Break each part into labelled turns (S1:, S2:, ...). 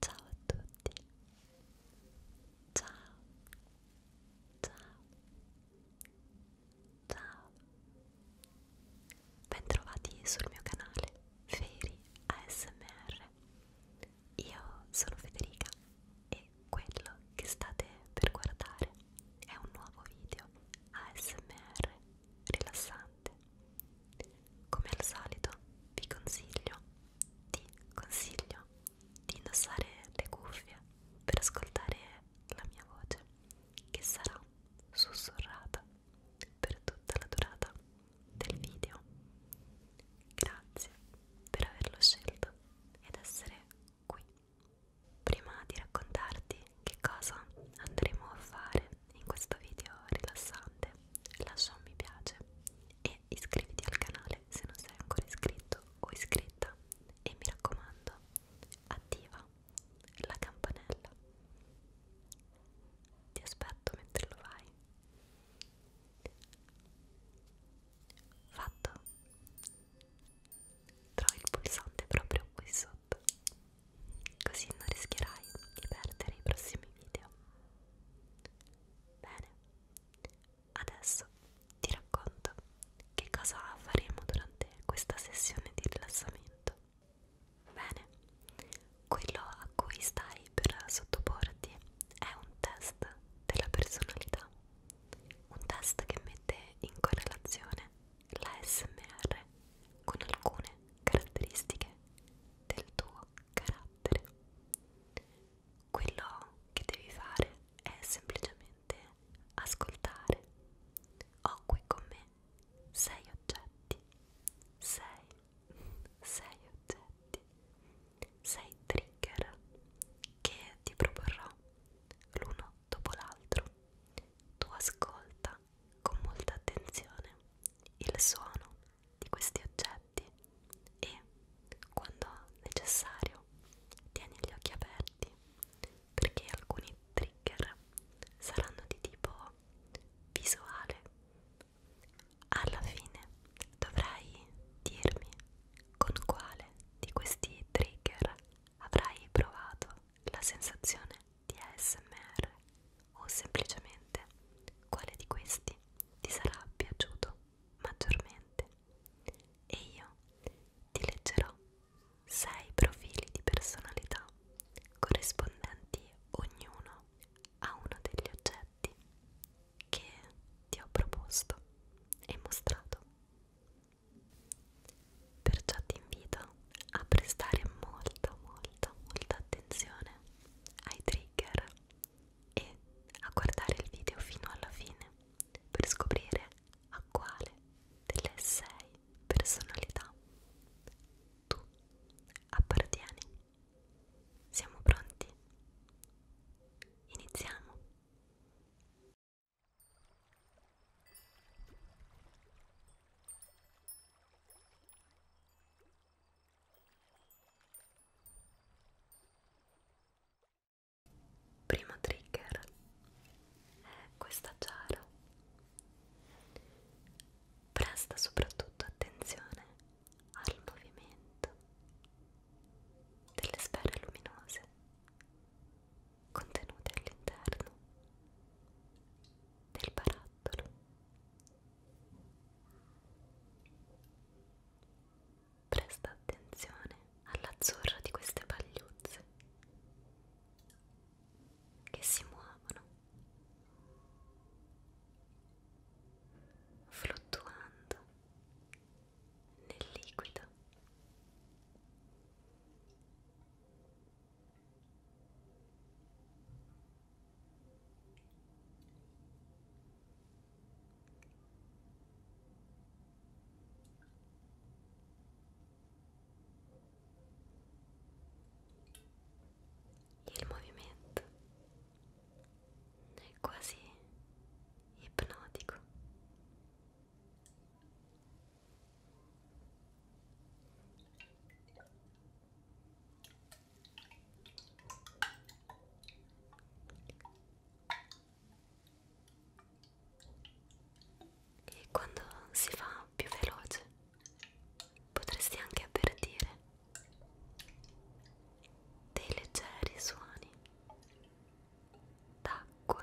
S1: Ciao a tutti. Ciao. Ciao. Ciao. Bentrovati sul mio canale Feri ASMR. Io sono Federica e quello che state per guardare è un nuovo video ASMR rilassante interessante. Come al solito vi consiglio, ti consiglio di indossare le cuffie per ascoltare la mia voce che sarà sussurrata per tutta la durata del video. Grazie per averlo scelto ed essere qui. Prima di raccontarti che cosa andremo a fare in questo video rilassante, lascia un mi piace e iscriviti al canale se non sei ancora iscritto o iscritta e mi raccomando attiva la campanella ti aspetto mentre lo fai fatto trovi il pulsante proprio qui sotto così non rischierai di perdere i prossimi video. Bene, adesso ti racconto che cosa faremo durante questa sessione di rilassamento. Bene, quello a cui stai per sottoporti è un test della personalità, un test che mette in correlazione la SMR con alcune caratteristiche del tuo carattere. Quello che devi fare è semplicemente ascoltare. Ho qui con me sei oggetti. Sei, sei oggetti. Sei trigger che ti proporrò l'uno dopo l'altro. Tu ascolta osserva con molta attenzione il suono di questi oggetti e, quando necessario, tieni gli occhi aperti perché alcuni trigger saranno di tipo visuale. Alla fine dovrai dirmi con quale di questi trigger avrai provato la sensazione di ASMR o semplicemente quale di questi ti sarà piaciuto maggiormente e io ti leggerò 6 profili di personalità corrispondenti ognuno a uno degli oggetti che ti ho proposto e mostrato. Perciò ti invito a prestare molta, molta, molta attenzione ai trigger e a guardare il video fino alla fine per scoprire a quale delle sei personalità tu appartieni. Siamo pronti? Iniziamo! Primo trigger è questa giara. Presta soprattutto attenzione al movimento delle sfere luminose contenute all'interno del barattolo. Presta attenzione all'azzurro di queste pagliuzze che si muovono fluttuando nel liquido il movimento è quasi ipnotico. E quando si fa più veloce potresti anche avvertire dei leggeri suoni d'acqua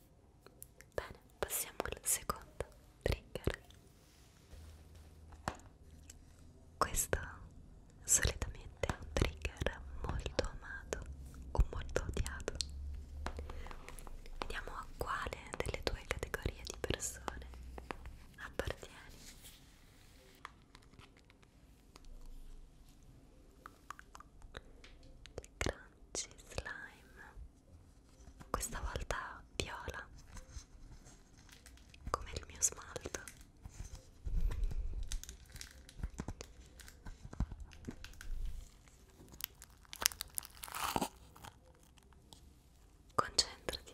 S1: Bene, passiamo al secondo trigger. Questo solitamente è un trigger molto amato o molto odiato. Vediamo a quale delle due categorie di persone appartieni. Gran Crunchy Slime questa volta viola come il mio smalto concentrati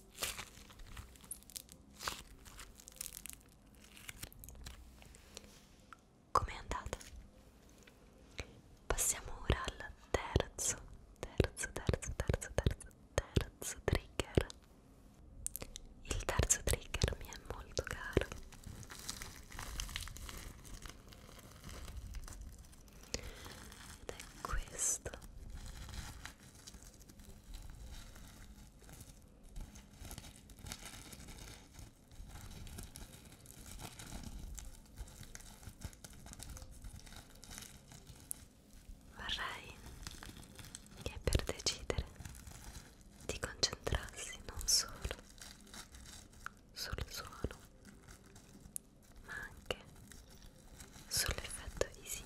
S1: Com'è andata? Passiamo ora al terzo, terzo, terzo, terzo, terzo, terzo trigger. Il terzo trigger mi è molto caro. Ed è questo Vorrei che per decidere ti concentrassi non solo sul suono, ma anche sull'effetto visivo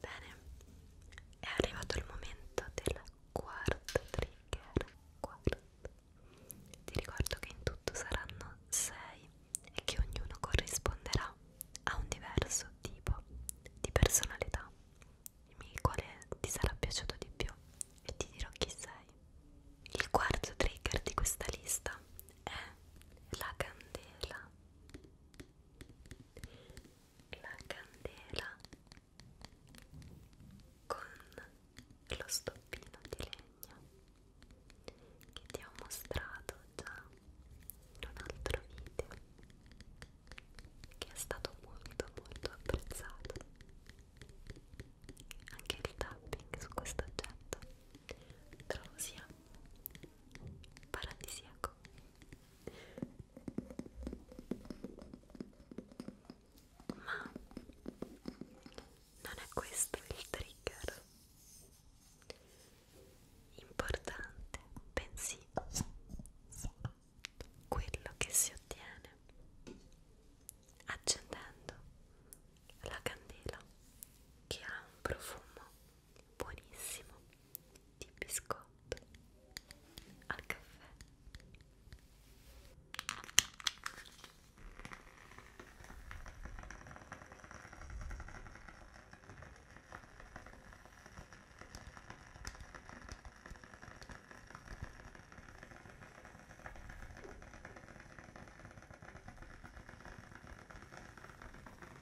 S1: Bene, è arrivato il momento del quarto trigger. Quarto. Ti ricordo che in tutto saranno 6 e che ognuno corrisponderà a un diverso tipo di personalità. Dimmi quale ti sarà piaciuto di più e ti dirò chi sei. Il quarto trigger di questa lista è la candela la candela con lo stoppino di legno che ti ho mostrato già in un altro video che è stato molto molto apprezzato anche il tapping su questo oggetto trovo sia paradisiaco ma non è questo il trigger importante, bensì quello che si ottiene accendendo la candela che ha un profumo buonissimo di biscotto al caffè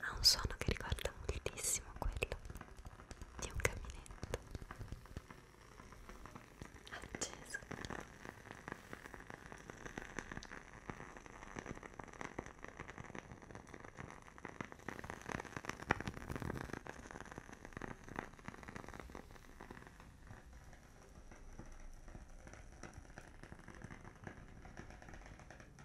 S1: ha un suono che ricorda moltissimo quello di un camminetto acceso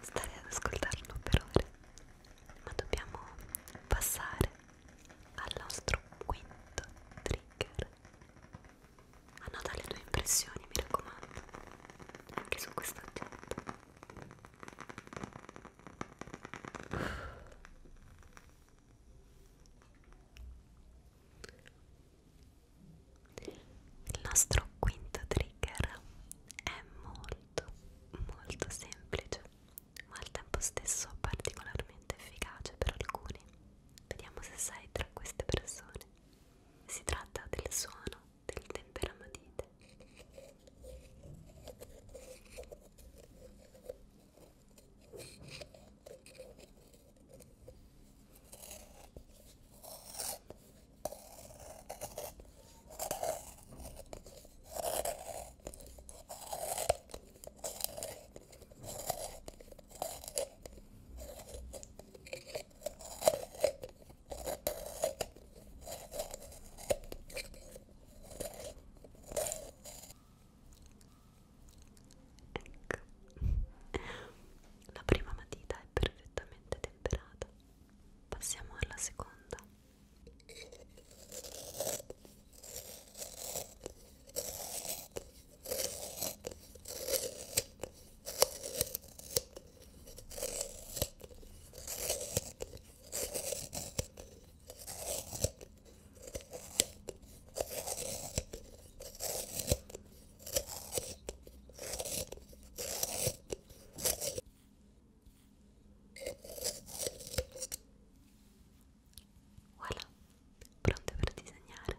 S1: Stare ad ascoltarlo per ore, ma dobbiamo passare al nostro quinto trigger. Annota le tue impressioni, mi raccomando, anche su questo oggetto. Il nostro quinto trigger è molto molto semplice, ma al tempo stesso particolarmente efficace per alcuni. Vediamo se sei tra queste persone. Si tratta del suono del temperamatite. Ecco. La prima matita è perfettamente temperata. Passiamo alla seconda. Voilà, pronte per disegnare.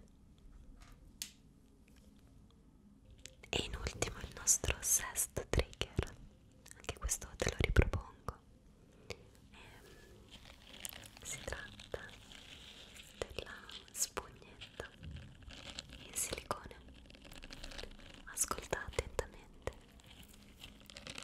S1: E in ultimo il nostro sesto trigger, anche questo te lo ripropongo. E ehm, si tratta della spugnetta in silicone. Ascoltate attentamente. Ecco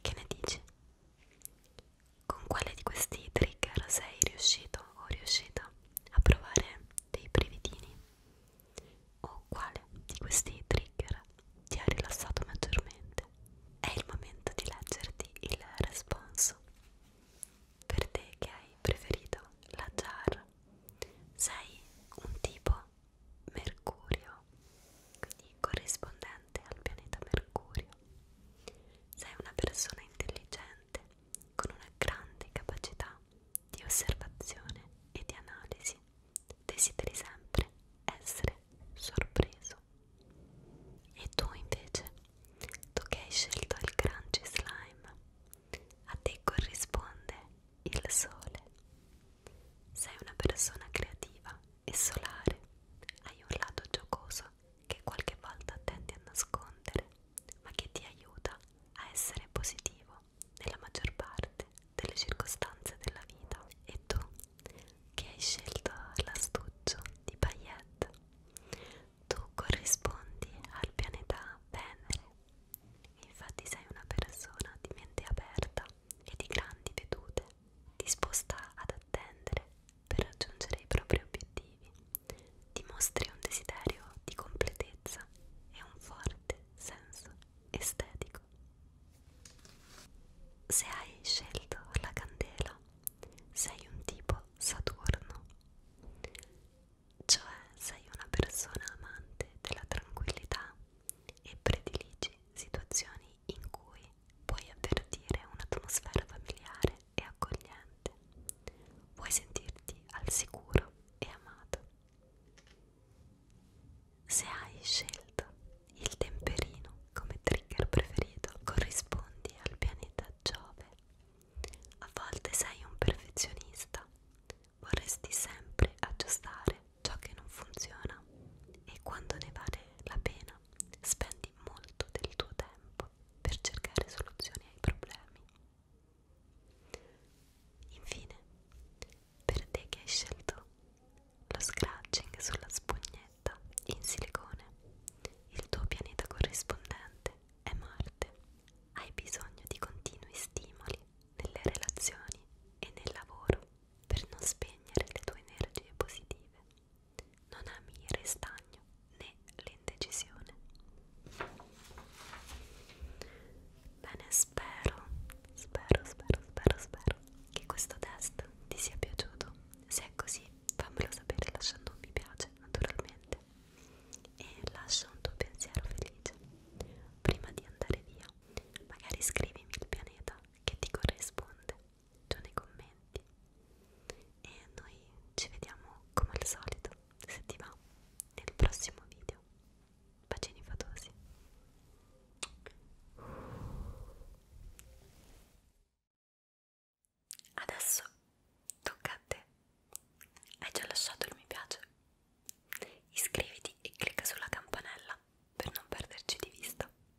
S1: Che ne dici? Con quale di questi trigger sei riuscito o riuscita a provare dei brevidini o quale di questi trigger ti ha rilassato maggiormente. È il momento di leggerti il responso. Per te che hai preferito la jar, sei un tipo Mercurio, quindi corrispondente al pianeta Mercurio. Sei una persona intelligente, con una grande capacità di osservazione e di analisi, desideri sempre essere sorpreso. E tu invece, tu che hai scelto il crunchy slime, a te corrisponde il sole. Sei una persona creativa e solare, hai un lato giocoso qualcosa che qualche volta tendi a nascondere, ma che ti aiuta a essere positivo nella maggior parte delle circostanze della vita. E tu, che hai scelto l'astuccio di Payette, tu corrispondi al pianeta Venere. Infatti sei una persona di mente aperta e di grandi vedute, disposta ad attendere per raggiungere i propri obiettivi, dimostri un desiderio di completezza e un forte senso estetico. Se hai scelto la candela, sei un tipo Saturno, cioè sei una persona amante della tranquillità e prediligi situazioni in cui puoi avvertire un'atmosfera familiare e accogliente. Vuoi sentirti al sicuro e amato. Se hai scelto il temperino come trigger preferito, corrispondi al pianeta Giove. A volte sei un perfezionista, vorresti sempre aggiustare ciò che non funziona e quando ne vale la pena spendi molto del tuo tempo tempo per cercare soluzioni ai problemi. Infine, per te che hai scelto lo scratching sulla spugnetta in silicone, il tuo pianeta corrispondente è Marte. Hai bisogno di continui stimoli nelle relazioni e nel lavoro per non spegnere le tue energie positive non ami il restagno né l'indecisione. Bene, spero, spero, spero, spero, spero che questo test ti sia piaciuto. Se è così, fammelo sapere lasciando un mi piace, naturalmente, e lascia un tuo pensiero felice. Prima di andare via, magari scrivimi il pianeta che ti corrisponde giù nei commenti e noi ci vediamo come al solito se ti va nel prossimo video bacini fatosi adesso tocca a te hai già lasciato il mi piace iscriviti e clicca sulla campanella per non perderci di vista